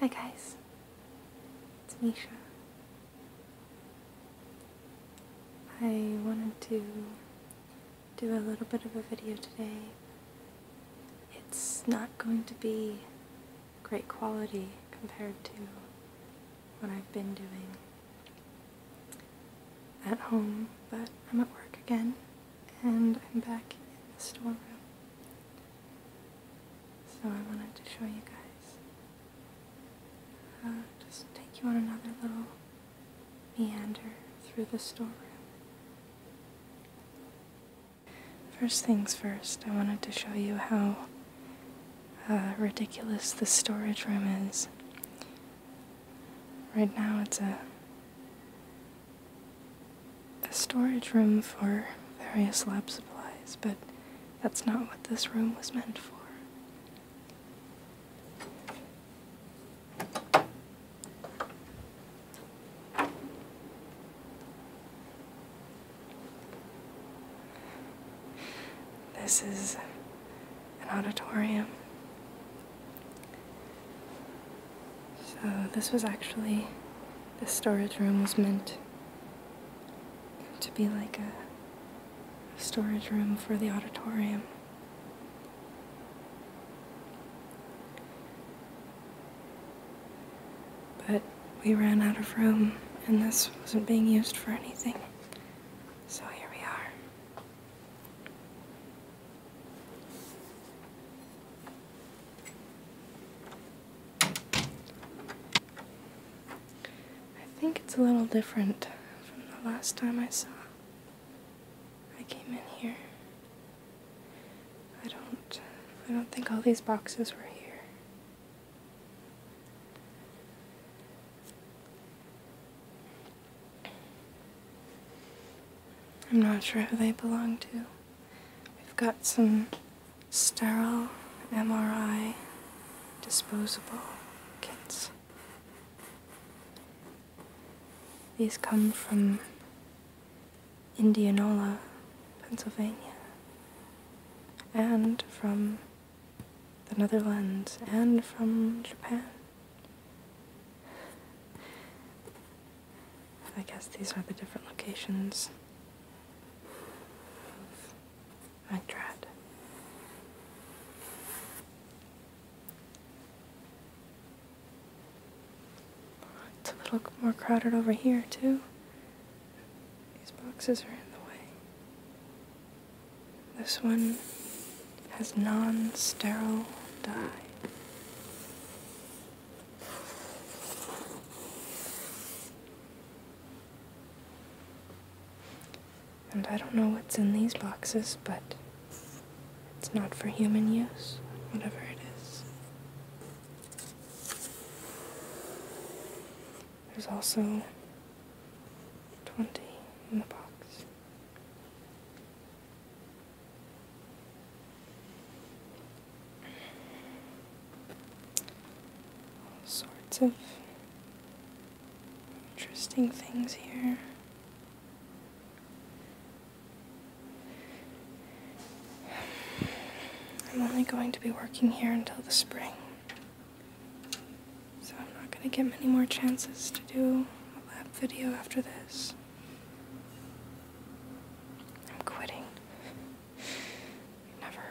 Hi guys, it's Misha. I wanted to do a little bit of a video today. It's not going to be great quality compared to what I've been doing at home, but I'm at work again and I'm back in the storeroom. So I wanted to show you guys. Uh, just take you on another little meander through the storeroom. First things first, I wanted to show you how uh, ridiculous the storage room is. Right now it's a a storage room for various lab supplies, but that's not what this room was meant for. This is an auditorium so this was actually, the storage room was meant to be like a storage room for the auditorium. But we ran out of room and this wasn't being used for anything. So here we are. I think it's a little different from the last time I saw I came in here. I don't I don't think all these boxes were here. I'm not sure who they belong to. We've got some sterile MRI disposable kits. These come from Indianola, Pennsylvania, and from the Netherlands, and from Japan. I guess these are the different locations of Magdrad. It's a little more crowded over here, too. These boxes are in the way. This one has non-sterile dye. And I don't know what's in these boxes, but it's not for human use, whatever it is. There's also 20 in the box all sorts of interesting things here. I'm only going to be working here until the spring. So I'm not going to get many more chances to do a lab video after this. I'm quitting. never.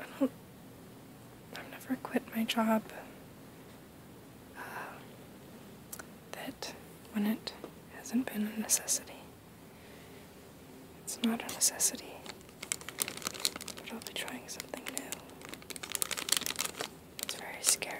I don't. I've never quit my job. Uh, that when it hasn't been a necessity. It's not a necessity, but I'll be trying something new. It's very scary.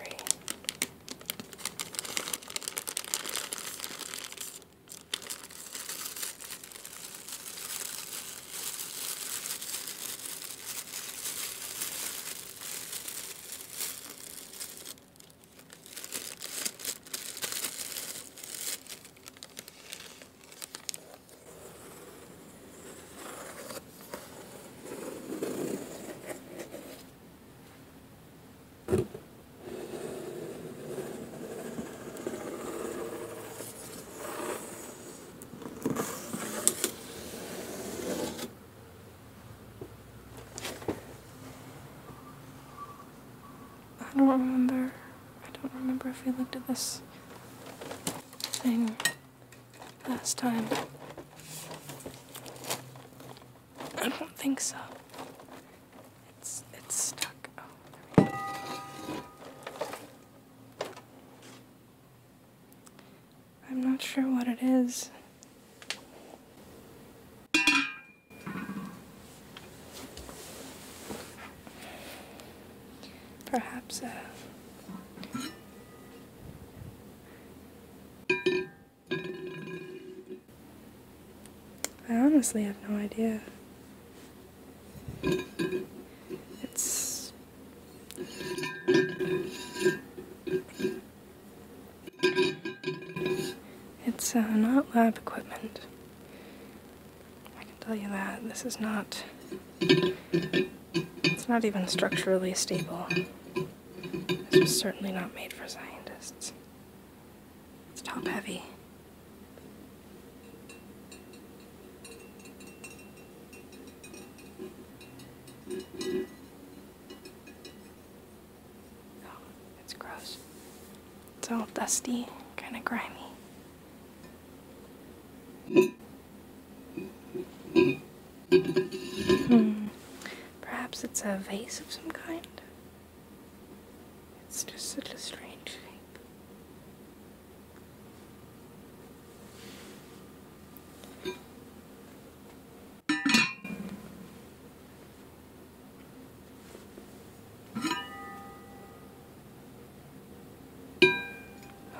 I don't remember. I don't remember if we looked at this thing last time. I don't think so. It's it's stuck. Oh, I'm not sure what it is. Perhaps a I honestly have no idea. It's... It's uh, not lab equipment. I can tell you that. This is not... It's not even structurally stable. It's was certainly not made for scientists. It's top heavy. Oh, it's gross. It's all dusty, kind of grimy. Hmm. Perhaps it's a vase of some kind. It's just such a strange shape.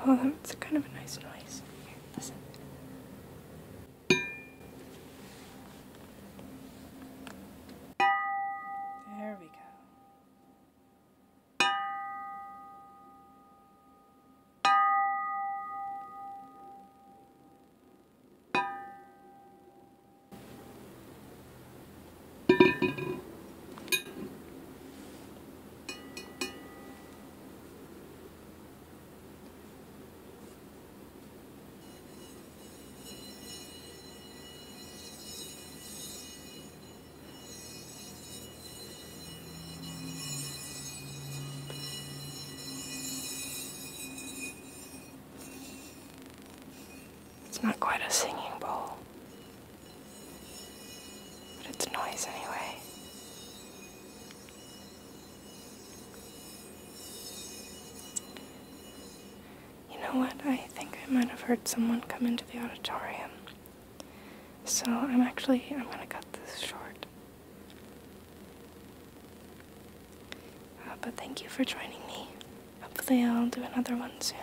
Oh, that's kind of a nice noise. listen. There we go. It's not quite a singing bowl, but it's noise anyway. You know what? I think I might have heard someone come into the auditorium. So I'm actually, I'm going to cut this short. Uh, but thank you for joining me. Hopefully I'll do another one soon.